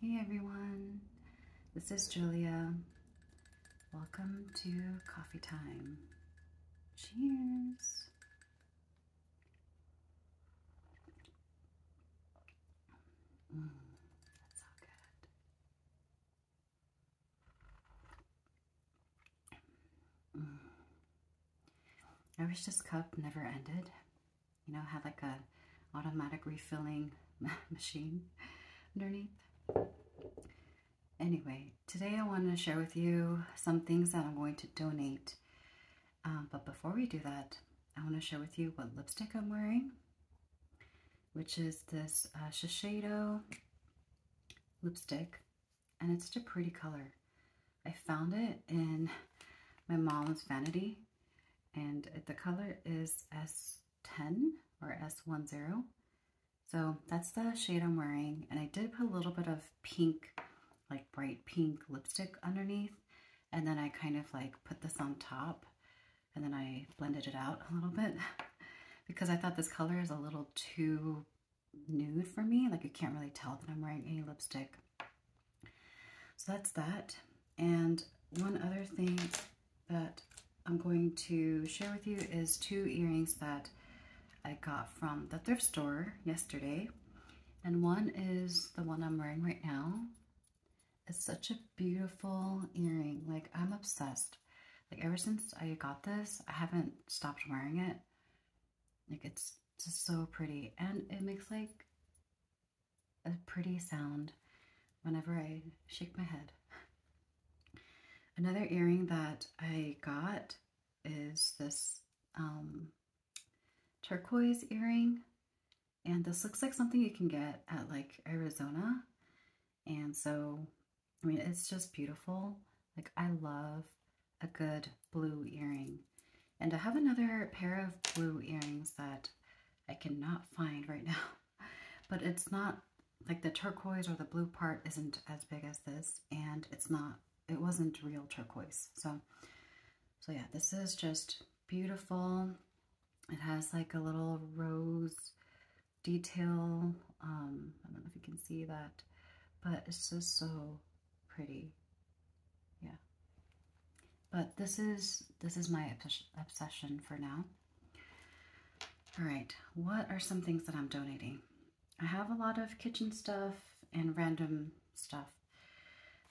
Hey everyone, this is Julia. Welcome to Coffee Time. Cheers. Mm, that's so good. Mm. I wish this cup never ended you know, have like a automatic refilling machine underneath. Anyway, today I wanted to share with you some things that I'm going to donate. Um, but before we do that, I want to share with you what lipstick I'm wearing, which is this uh, Shiseido lipstick, and it's a pretty color. I found it in my mom's vanity, and the color is S10 or S10. So that's the shade I'm wearing. And I did put a little bit of pink, like bright pink lipstick underneath. And then I kind of like put this on top and then I blended it out a little bit because I thought this color is a little too nude for me. Like you can't really tell that I'm wearing any lipstick. So that's that. And one other thing that I'm going to share with you is two earrings that I got from the thrift store yesterday. And one is the one I'm wearing right now. It's such a beautiful earring. Like, I'm obsessed. Like, ever since I got this, I haven't stopped wearing it. Like, it's just so pretty. And it makes, like, a pretty sound whenever I shake my head. Another earring that I got is this um, turquoise earring. And this looks like something you can get at like Arizona. And so, I mean, it's just beautiful. Like I love a good blue earring. And I have another pair of blue earrings that I cannot find right now. But it's not, like the turquoise or the blue part isn't as big as this. And it's not, it wasn't real turquoise. So, so yeah, this is just beautiful. It has like a little rose detail. Um, I don't know if you can see that. But it's just so pretty. Yeah. But this is this is my obsession for now. All right, what are some things that I'm donating? I have a lot of kitchen stuff and random stuff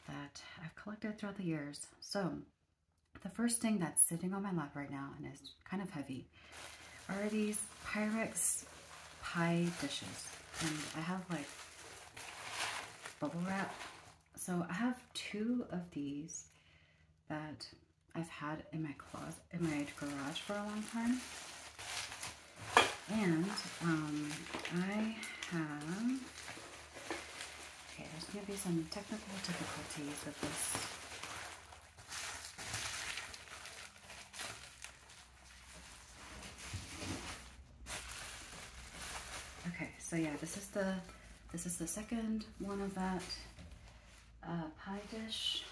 that I've collected throughout the years. So the first thing that's sitting on my lap right now and is kind of heavy are these Pyrex pie dishes. And I have like bubble wrap so I have two of these that I've had in my closet, in my garage for a long time. And um, I have, okay, there's gonna be some technical difficulties with this. Okay, so yeah, this is the this is the second one of that uh, pie dish.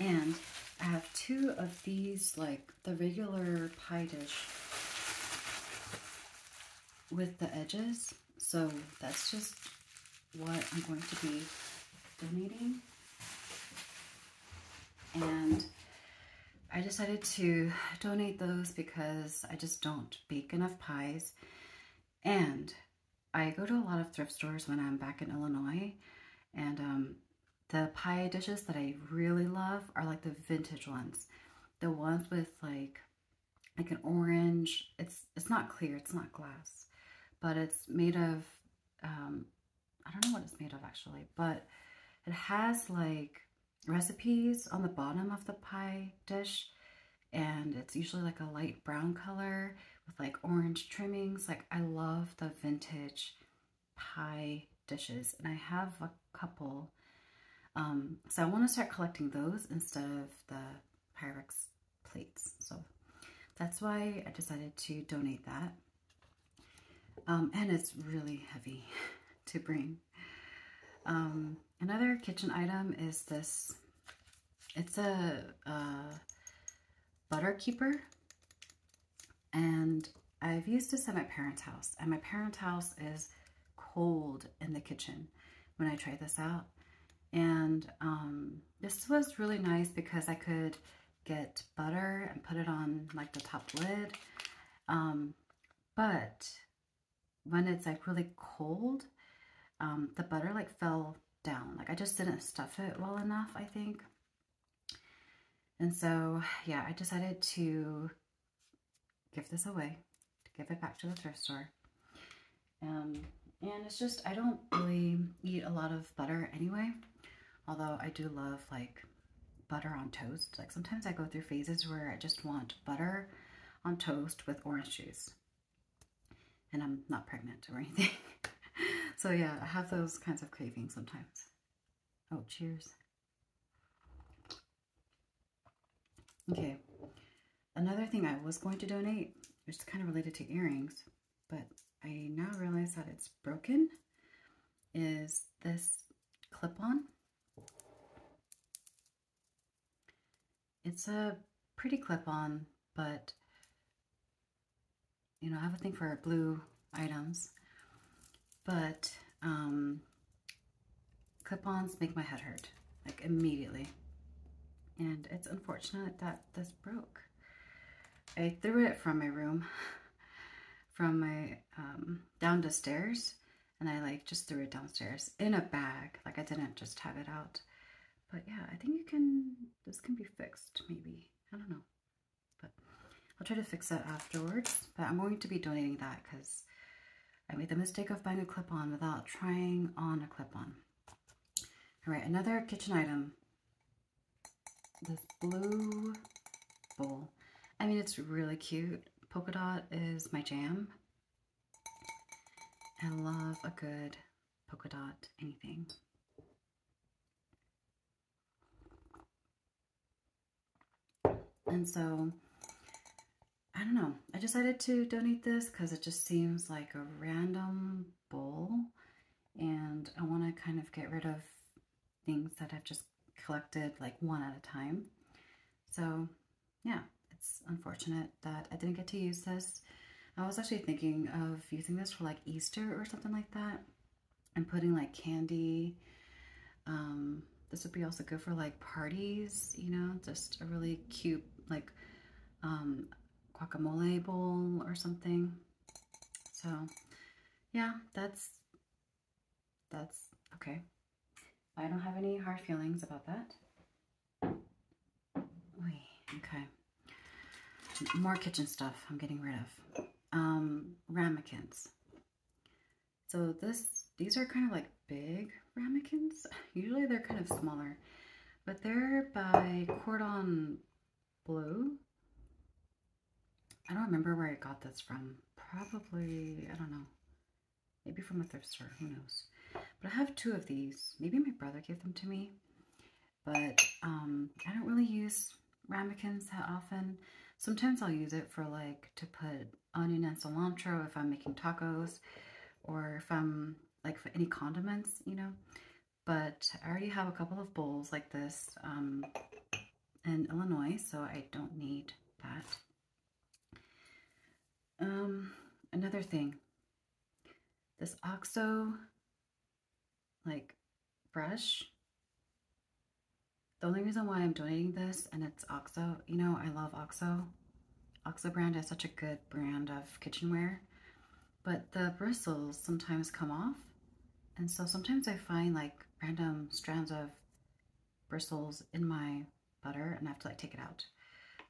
And I have two of these, like the regular pie dish with the edges. So that's just what I'm going to be donating and I decided to donate those because I just don't bake enough pies. And I go to a lot of thrift stores when I'm back in Illinois, and um, the pie dishes that I really love are like the vintage ones. The ones with like like an orange, it's it's not clear, it's not glass, but it's made of, um, I don't know what it's made of actually, but it has like recipes on the bottom of the pie dish and it's usually like a light brown color with like orange trimmings. Like I love the vintage pie dishes and I have a couple. Um, so I want to start collecting those instead of the Pyrex plates. So that's why I decided to donate that. Um, and it's really heavy to bring. Um, another kitchen item is this. It's a, butter keeper. And I've used this at my parents' house. And my parents' house is cold in the kitchen when I tried this out. And um, this was really nice because I could get butter and put it on like the top lid. But when it's like really cold, um, the butter like fell down. Like I just didn't stuff it well enough, I think. And so, yeah, I decided to give this away, give it back to the thrift store. Um, and it's just, I don't really eat a lot of butter anyway. Although I do love like butter on toast. Like sometimes I go through phases where I just want butter on toast with orange juice. And I'm not pregnant or anything. so yeah, I have those kinds of cravings sometimes. Oh, cheers. Okay, another thing I was going to donate, which is kind of related to earrings, but I now realize that it's broken, is this clip-on. It's a pretty clip-on, but you know, I have a thing for blue items, but um, clip-ons make my head hurt, like immediately. And it's unfortunate that this broke. I threw it from my room from my um, down the stairs and I like just threw it downstairs in a bag. Like I didn't just have it out. But yeah, I think you can, this can be fixed maybe. I don't know. But I'll try to fix that afterwards. But I'm going to be donating that because I made the mistake of buying a clip-on without trying on a clip-on. All right, another kitchen item. This blue bowl. I mean, it's really cute. Polka dot is my jam. I love a good polka dot anything. And so, I don't know. I decided to donate this because it just seems like a random bowl. And I want to kind of get rid of things that I've just collected like one at a time. So yeah, it's unfortunate that I didn't get to use this. I was actually thinking of using this for like Easter or something like that and putting like candy. Um, this would be also good for like parties, you know, just a really cute like um, guacamole bowl or something. So yeah, that's that's okay. I don't have any hard feelings about that. Oy, okay. More kitchen stuff I'm getting rid of. Um, ramekins. So this, these are kind of like big ramekins. Usually they're kind of smaller, but they're by Cordon Bleu. I don't remember where I got this from. Probably, I don't know. Maybe from a thrift store, who knows. But I have two of these. Maybe my brother gave them to me. But um, I don't really use ramekins that often. Sometimes I'll use it for like to put onion and cilantro if I'm making tacos or if I'm like for any condiments, you know. But I already have a couple of bowls like this. Um, and Illinois, so I don't need that. Um, another thing, this OXO like brush. The only reason why I'm donating this, and it's OXO, you know, I love OXO. OXO brand is such a good brand of kitchenware, but the bristles sometimes come off. And so sometimes I find like random strands of bristles in my butter and I have to like take it out.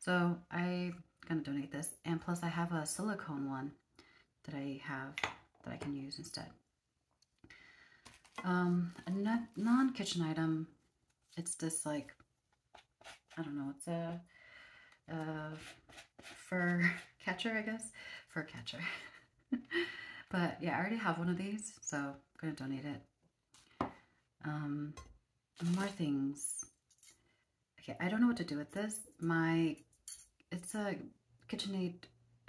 So I'm gonna donate this. And plus I have a silicone one that I have that I can use instead. Um, a non-kitchen item, it's this like, I don't know, it's a, a uh, fur catcher, I guess? Fur catcher. but yeah, I already have one of these, so I'm going to donate it. Um, more things. Okay, I don't know what to do with this. My, it's a KitchenAid,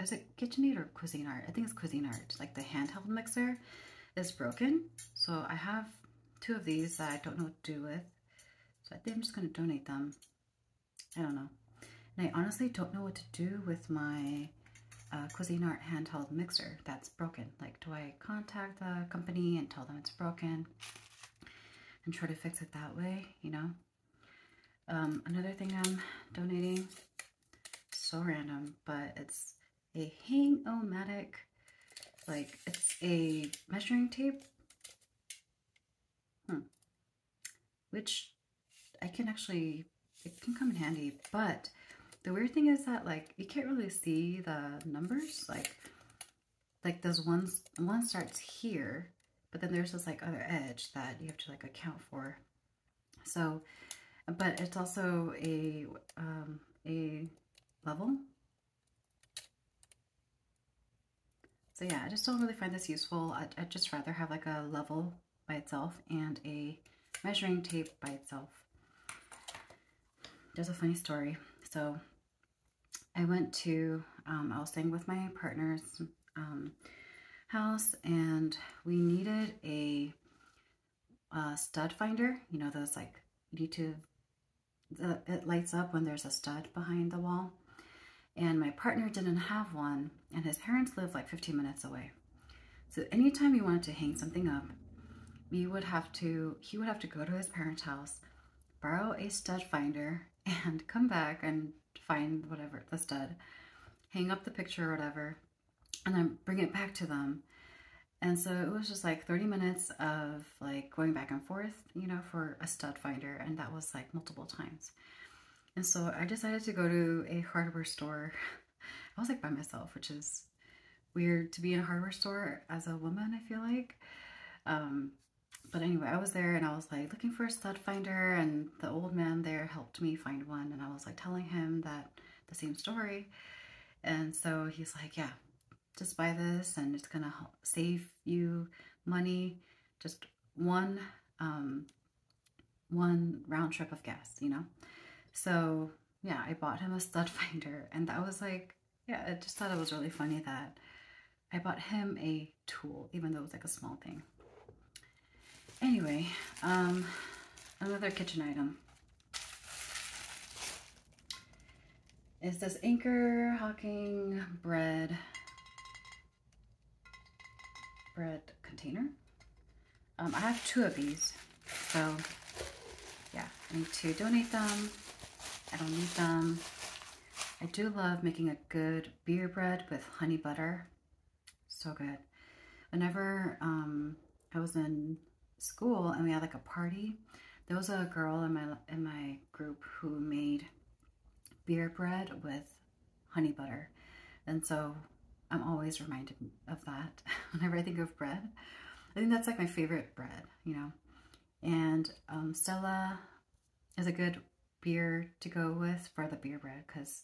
is it KitchenAid or Cuisine Art? I think it's Cuisine Art, like the handheld mixer is broken. So I have two of these that I don't know what to do with. So I think I'm just going to donate them. I don't know. And I honestly don't know what to do with my uh, Cuisine Art handheld mixer that's broken. Like, do I contact the company and tell them it's broken and try to fix it that way, you know? Um, another thing I'm donating, so random, but it's a hang-o-matic, like it's a measuring tape. Hmm which I can actually, it can come in handy, but the weird thing is that like, you can't really see the numbers, like, like those ones, one starts here, but then there's this like other edge that you have to like account for. So, but it's also a, um, a level. So yeah, I just don't really find this useful. I'd, I'd just rather have like a level by itself and a measuring tape by itself. There's a funny story. So I went to, um, I was staying with my partner's um, house and we needed a, a, stud finder. You know, those like, you need to, the, it lights up when there's a stud behind the wall and my partner didn't have one, and his parents lived like 15 minutes away. So anytime he wanted to hang something up, we would have to, he would have to go to his parents' house, borrow a stud finder, and come back and find whatever, the stud, hang up the picture or whatever, and then bring it back to them. And so it was just like 30 minutes of like going back and forth, you know, for a stud finder. And that was like multiple times. And so I decided to go to a hardware store. I was like by myself, which is weird to be in a hardware store as a woman, I feel like. Um, but anyway, I was there and I was like looking for a stud finder and the old man there helped me find one and I was like telling him that the same story. And so he's like, yeah, just buy this and it's gonna save you money. Just one um, one round trip of gas, you know? So yeah, I bought him a stud finder and that was like, yeah, I just thought it was really funny that I bought him a tool, even though it was like a small thing. Anyway, um, another kitchen item is this Anchor Hawking bread bread container. Um, I have two of these, so yeah, I need to donate them. I don't need them. I do love making a good beer bread with honey butter. So good. Whenever um, I was in school and we had like a party, there was a girl in my in my group who made beer bread with honey butter. And so I'm always reminded of that whenever I think of bread. I think that's like my favorite bread, you know. And um, Stella is a good beer to go with for the beer bread because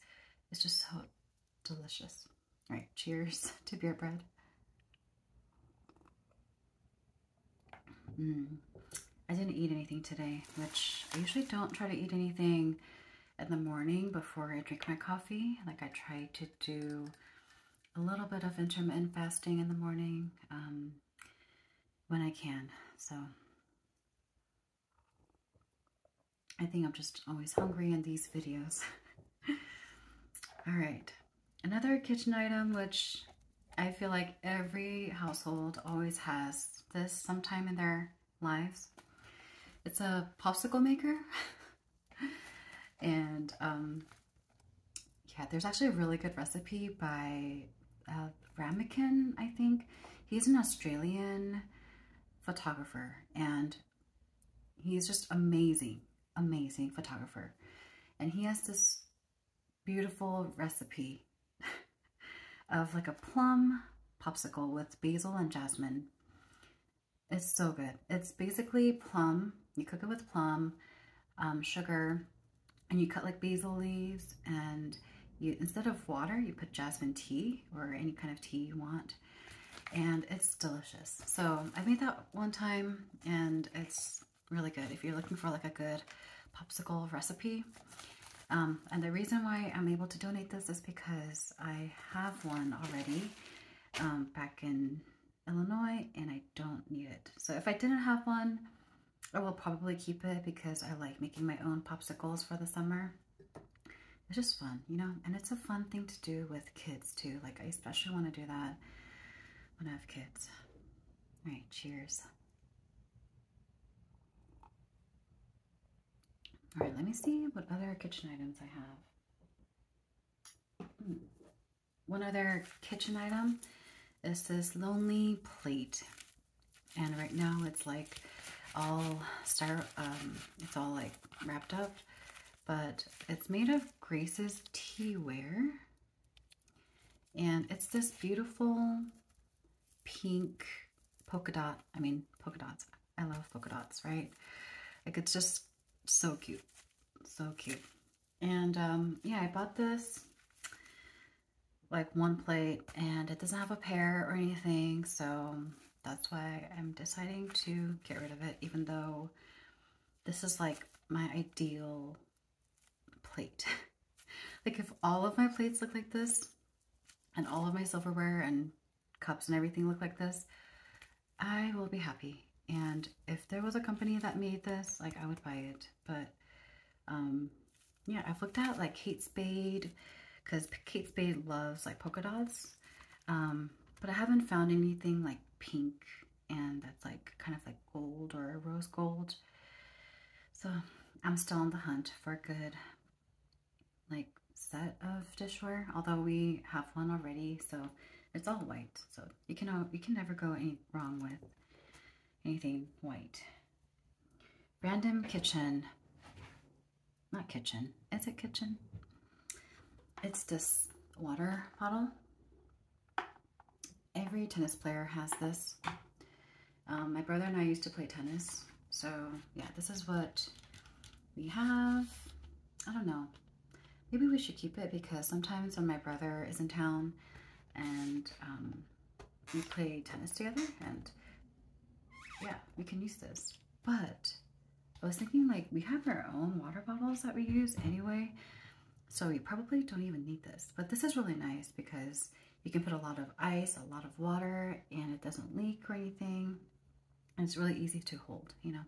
it's just so delicious. All right, cheers to beer bread. Mm. I didn't eat anything today, which I usually don't try to eat anything in the morning before I drink my coffee. Like I try to do a little bit of intermittent fasting in the morning um, when I can. So I think I'm just always hungry in these videos. All right. Another kitchen item, which I feel like every household always has this sometime in their lives. It's a popsicle maker. and um, yeah, there's actually a really good recipe by uh, Ramekin, I think. He's an Australian photographer and he's just amazing, amazing photographer. And he has this beautiful recipe of like a plum popsicle with basil and jasmine. It's so good. It's basically plum. You cook it with plum, um, sugar, and you cut like basil leaves and you instead of water, you put jasmine tea or any kind of tea you want. And it's delicious. So I made that one time and it's really good. If you're looking for like a good popsicle recipe, um, and the reason why I'm able to donate this is because I have one already um, back in Illinois and I don't need it. So if I didn't have one, I will probably keep it because I like making my own popsicles for the summer. It's just fun, you know, and it's a fun thing to do with kids too. Like I especially want to do that when I have kids. All right, cheers. All right, let me see what other kitchen items I have. Hmm. One other kitchen item is this lonely plate. And right now it's like all star, um, it's all like wrapped up, but it's made of Grace's tea ware, And it's this beautiful pink polka dot. I mean, polka dots. I love polka dots, right? Like, it's just so cute. So cute. And, um, yeah, I bought this, like, one plate, and it doesn't have a pair or anything, so that's why I'm deciding to get rid of it, even though this is, like, my ideal plate. like, if all of my plates look like this, and all of my silverware and cups and everything look like this, I will be happy. And if there was a company that made this, like I would buy it. But um, yeah, I've looked at like Kate Spade because Kate Spade loves like polka dots. Um, but I haven't found anything like pink and that's like kind of like gold or rose gold. So I'm still on the hunt for good like set of dishware, although we have one already, so it's all white. So you can you can never go wrong with anything white. Random kitchen, not kitchen. Is it kitchen? It's this water bottle. Every tennis player has this. Um, my brother and I used to play tennis. So yeah, this is what we have. I don't know. Maybe we should keep it because sometimes when my brother is in town and um, we play tennis together and yeah, we can use this. But I was thinking like we have our own water bottles that we use anyway. So we probably don't even need this. But this is really nice because you can put a lot of ice, a lot of water, and it doesn't leak or anything. it's really easy to hold, you know.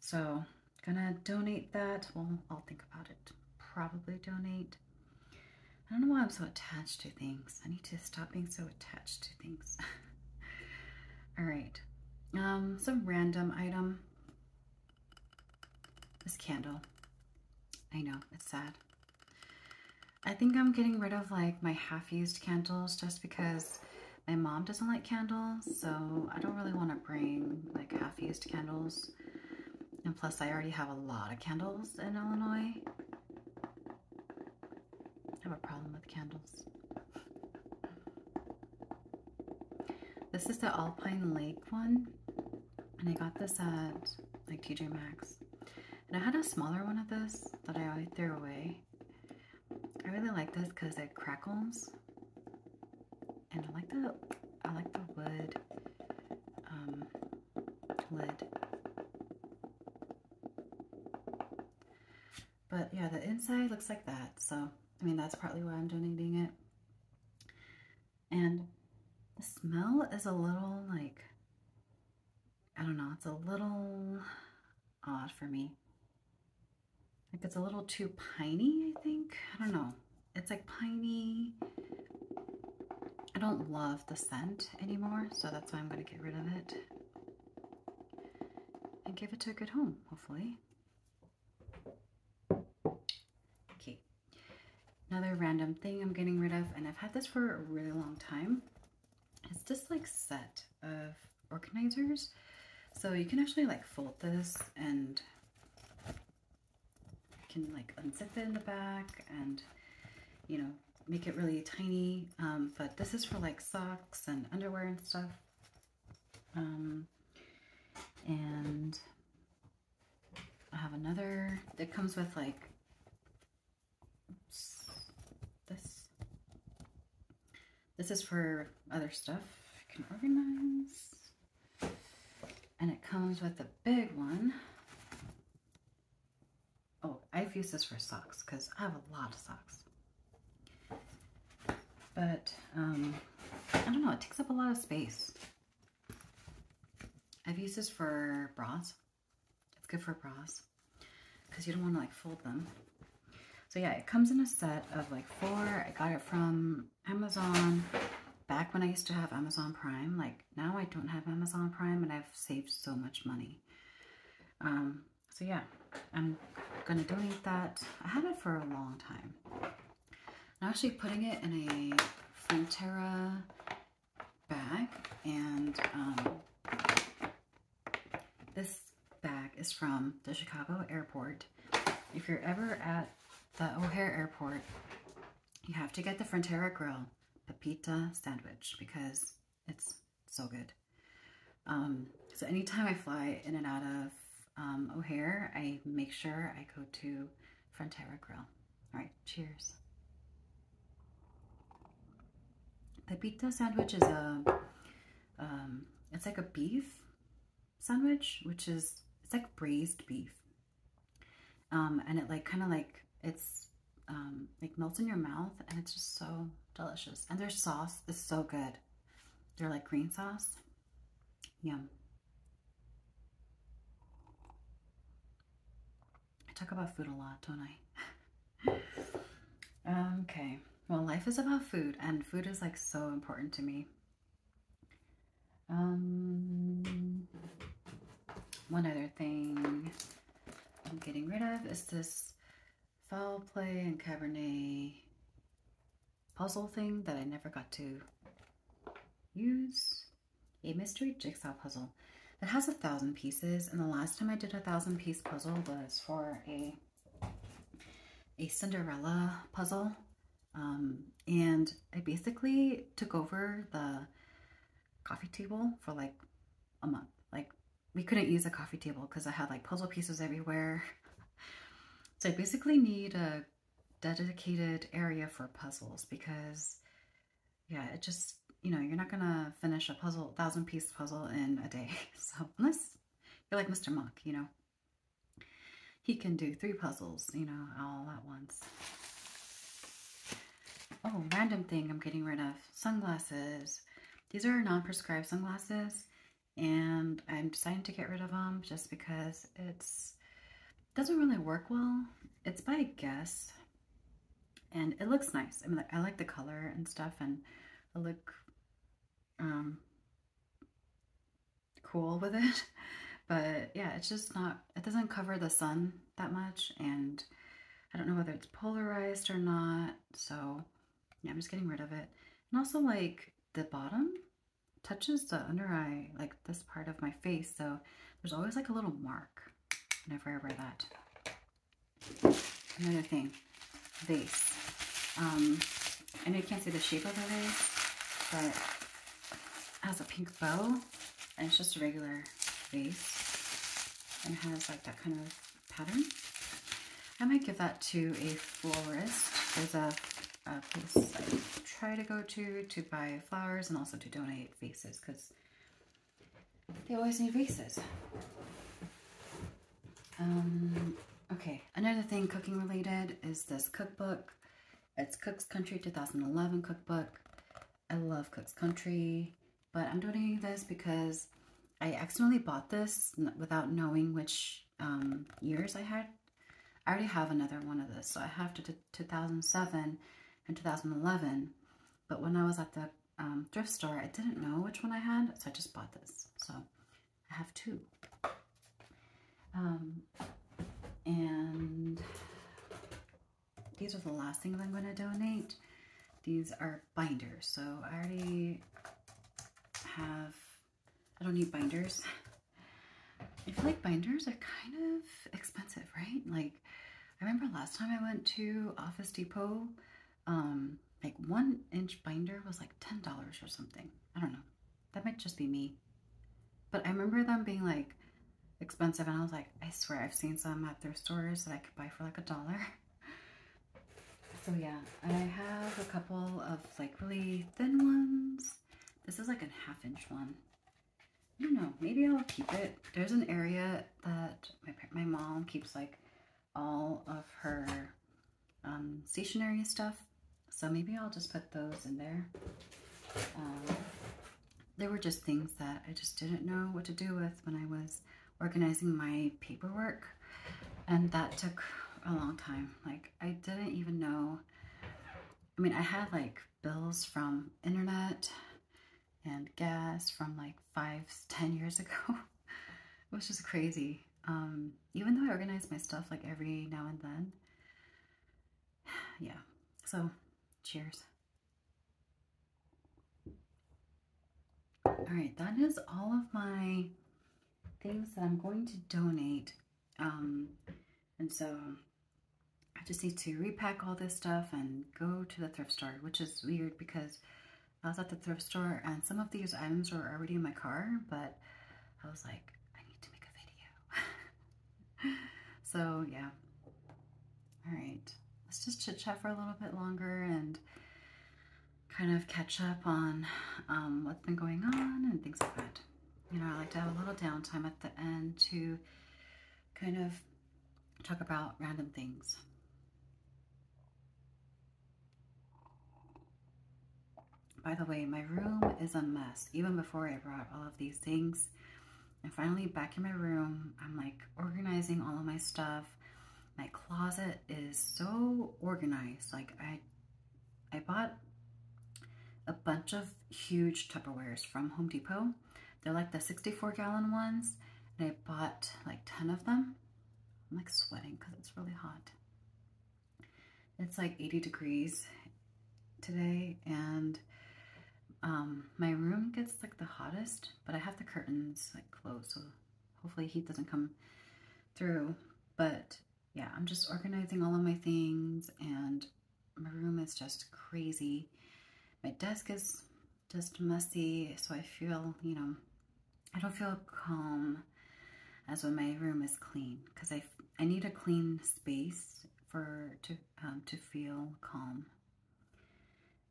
So gonna donate that. Well, I'll think about it. Probably donate. I don't know why I'm so attached to things. I need to stop being so attached to things. All right. Um, some random item. This candle. I know, it's sad. I think I'm getting rid of like my half-used candles just because my mom doesn't like candles, so I don't really want to bring like half-used candles. And plus, I already have a lot of candles in Illinois. I have a problem with candles. This is the Alpine Lake one, and I got this at like TJ Maxx. And I had a smaller one of this that I threw away. I really like this because it crackles. And I like the I like the wood um, lid. But yeah, the inside looks like that. So, I mean, that's partly why I'm donating it. And the smell is a little like I don't know, it's a little odd for me. Like it's a little too piney, I think. I don't know. It's like piney. I don't love the scent anymore, so that's why I'm going to get rid of it. And give it to a good home, hopefully. Okay. Another random thing I'm getting rid of, and I've had this for a really long time, It's this like set of organizers. So you can actually like fold this and can like unzip it in the back and you know make it really tiny um, but this is for like socks and underwear and stuff um, and I have another that comes with like this. This is for other stuff I can organize. And it comes with a big one. Oh, I've used this for socks because I have a lot of socks. But, um, I don't know, it takes up a lot of space. I've used this for bras it's good for bras because you don't want to like fold them. So yeah, it comes in a set of like four. I got it from Amazon back when I used to have Amazon Prime. Like now I don't have Amazon Prime and I've saved so much money. Um, so yeah, I'm gonna donate that. I had it for a long time. I'm actually putting it in a Frontera bag and um, this bag is from the Chicago airport. If you're ever at the O'Hare airport, you have to get the Frontera Grill Pepita sandwich because it's so good. Um, so anytime I fly in and out of um, O'Hare, I make sure I go to Frontera Grill. All right, cheers. The pita sandwich is a, um, it's like a beef sandwich, which is, it's like braised beef. Um, and it like, kind of like, it's um, like melts in your mouth and it's just so delicious. And their sauce is so good. They're like green sauce. Yum. I talk about food a lot, don't I? okay. Well, life is about food, and food is like so important to me. Um, one other thing I'm getting rid of is this foul play and Cabernet puzzle thing that I never got to use a mystery jigsaw puzzle. that has a thousand pieces, and the last time I did a thousand piece puzzle was for a a Cinderella puzzle. Um, and I basically took over the coffee table for like a month. Like we couldn't use a coffee table because I had like puzzle pieces everywhere. so I basically need a dedicated area for puzzles because yeah, it just you know, you're not going to finish a puzzle, thousand piece puzzle in a day. So unless you're like Mr. Monk, you know, he can do three puzzles, you know, all at once. Oh, random thing I'm getting rid of. Sunglasses. These are non-prescribed sunglasses and I'm deciding to get rid of them just because it's doesn't really work well. It's by Guess, and it looks nice. I mean, I like the color and stuff, and I look um, cool with it. But yeah, it's just not, it doesn't cover the sun that much, and I don't know whether it's polarized or not, so I'm just getting rid of it. And also, like, the bottom touches the under eye, like this part of my face, so there's always like a little mark Never I wear that. Another thing, vase. Um, I know you can't see the shape of the vase, but it has a pink bow, and it's just a regular vase, and has like that kind of pattern. I might give that to a florist. There's a place I try to go to to buy flowers and also to donate vases because they always need reset. Um, okay, another thing cooking related is this cookbook. It's Cook's Country 2011 cookbook. I love Cook's Country, but I'm donating this because I accidentally bought this without knowing which um, years I had. I already have another one of this, so I have to 2007, in 2011. But when I was at the um, thrift store, I didn't know which one I had, so I just bought this. So I have two. Um, and these are the last things I'm going to donate. These are binders. So I already have, I don't need binders. I feel like binders are kind of expensive, right? Like I remember last time I went to Office Depot, um, like one inch binder was like $10 or something. I don't know. That might just be me. But I remember them being like expensive and I was like, I swear I've seen some at thrift stores that I could buy for like a dollar. So yeah, I have a couple of like really thin ones. This is like a half inch one. I don't know, maybe I'll keep it. There's an area that my, mom keeps like all of her um, stationery stuff. So maybe I'll just put those in there. Um, there were just things that I just didn't know what to do with when I was organizing my paperwork. And that took a long time. Like I didn't even know. I mean, I had like bills from internet and gas from like five, ten years ago. it was just crazy. Um, even though I organize my stuff like every now and then. Yeah. So, cheers. All right, that is all of my things that I'm going to donate. Um, and so I just need to repack all this stuff and go to the thrift store, which is weird because I was at the thrift store and some of these items were already in my car, but I was like, I need to make a video. so yeah. All right, let's just chit chat for a little bit longer and kind of catch up on um, what's been going on and things like that. You know, I like to have a little downtime at the end to kind of talk about random things. By the way, my room is a mess. Even before I brought all of these things, and finally back in my room, I'm like organizing all of my stuff. My closet is so organized. Like I, I bought a bunch of huge Tupperwares from Home Depot they're like the 64 gallon ones. And I bought like 10 of them. I'm like sweating because it's really hot. It's like 80 degrees today and um, my room gets like the hottest, but I have the curtains like closed, so hopefully heat doesn't come through. But yeah, I'm just organizing all of my things and my room is just crazy. My desk is just messy, so I feel, you know, I don't feel calm as when my room is clean because I, I need a clean space for to um, to feel calm.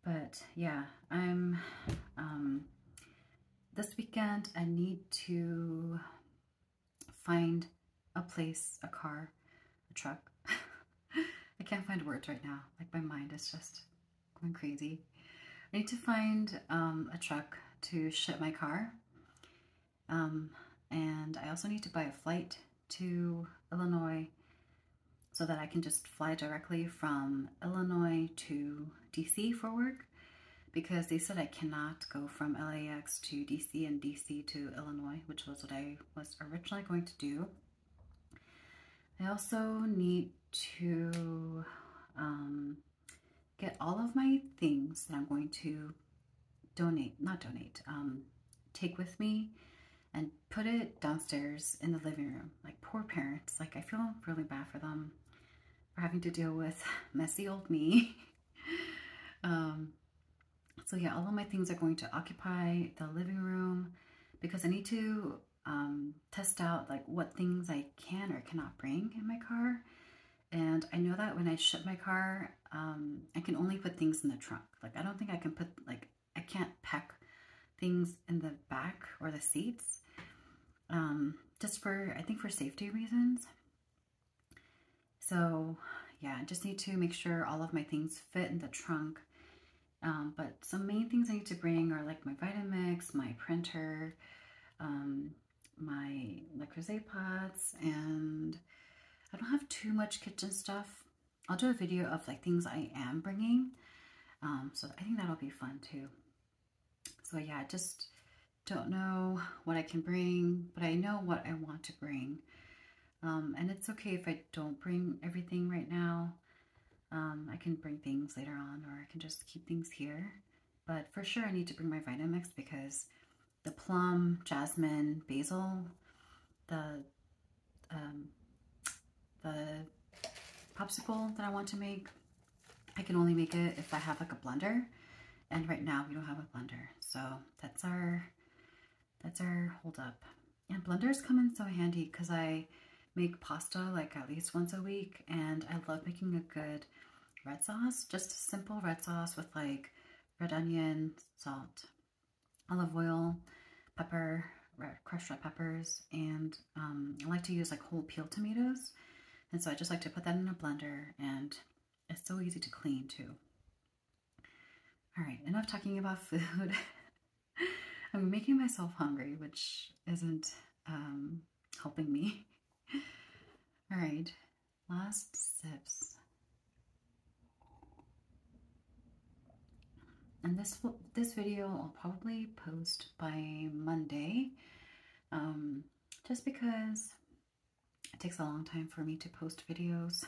But yeah, I'm um, this weekend I need to find a place, a car, a truck. I can't find words right now. Like, my mind is just going crazy. I need to find um, a truck to ship my car. Um, and I also need to buy a flight to Illinois so that I can just fly directly from Illinois to DC for work because they said I cannot go from LAX to DC and DC to Illinois, which was what I was originally going to do. I also need to um, get all of my things that I'm going to donate, not donate, um, take with me and put it downstairs in the living room. Like poor parents, like I feel really bad for them for having to deal with messy old me. Um, so yeah, all of my things are going to occupy the living room because I need to um, test out like what things I can or cannot bring in my car. And I know that when I ship my car, um, I can only put things in the trunk. Like I don't think I can put like, I can't pack things in the back or the seats um, just for, I think for safety reasons. So yeah, I just need to make sure all of my things fit in the trunk. Um, but some main things I need to bring are like my Vitamix, my printer, um, my La Creuset pots, and I don't have too much kitchen stuff. I'll do a video of like things I am bringing. Um, so I think that'll be fun too. So yeah, I just don't know what I can bring, but I know what I want to bring. Um, and it's okay if I don't bring everything right now. Um, I can bring things later on or I can just keep things here. But for sure I need to bring my Vitamix because the plum, jasmine, basil, the, um, the popsicle that I want to make, I can only make it if I have like a blender. And right now we don't have a blender. So that's our that's our holdup. And blenders come in so handy because I make pasta like at least once a week and I love making a good red sauce, just a simple red sauce with like red onion, salt, olive oil, pepper, crushed red peppers, and um, I like to use like whole peeled tomatoes. And so I just like to put that in a blender and it's so easy to clean too. All right, enough talking about food. I'm making myself hungry, which isn't um, helping me. All right, last sips. And this this video I'll probably post by Monday, um, just because it takes a long time for me to post videos.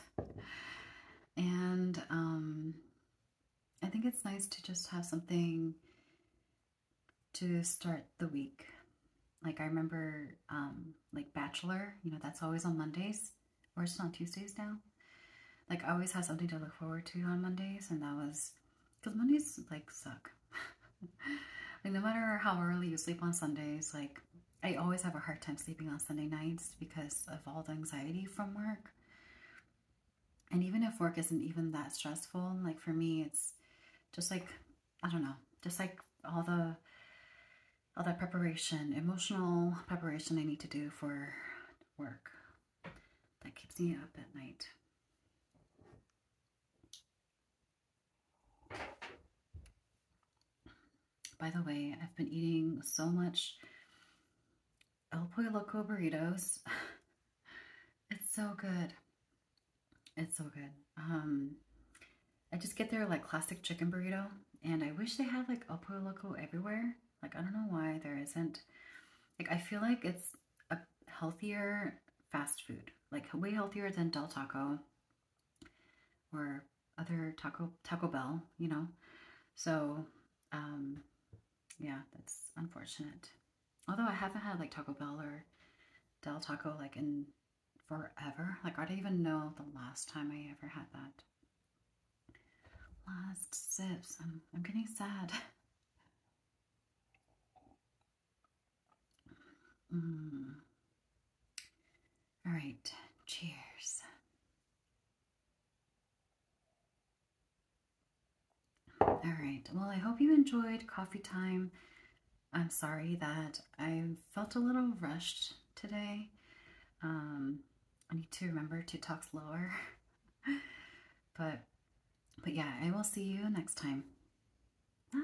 And um, I think it's nice to just have something to start the week. Like I remember um, like Bachelor, you know, that's always on Mondays or it's on Tuesdays now. Like I always have something to look forward to on Mondays and that was, because Mondays like suck. like no matter how early you sleep on Sundays, like I always have a hard time sleeping on Sunday nights because of all the anxiety from work. And even if work isn't even that stressful, like for me, it's just like, I don't know, just like all the, all that preparation, emotional preparation I need to do for work that keeps me up at night. By the way, I've been eating so much El Pollo Loco burritos. it's so good. It's so good. Um, I just get their like classic chicken burrito and I wish they had like El Pollo Loco everywhere. Like, I don't know why there isn't. Like, I feel like it's a healthier fast food, like way healthier than Del Taco or other Taco Taco Bell, you know. So, um, yeah, that's unfortunate. Although I haven't had like Taco Bell or Del Taco like in forever. Like I don't even know the last time I ever had that. Last sip. I'm I'm getting sad. Mm. All right, cheers. All right, well, I hope you enjoyed coffee time. I'm sorry that I felt a little rushed today. Um, I need to remember to talk slower. but, but yeah, I will see you next time. Bye.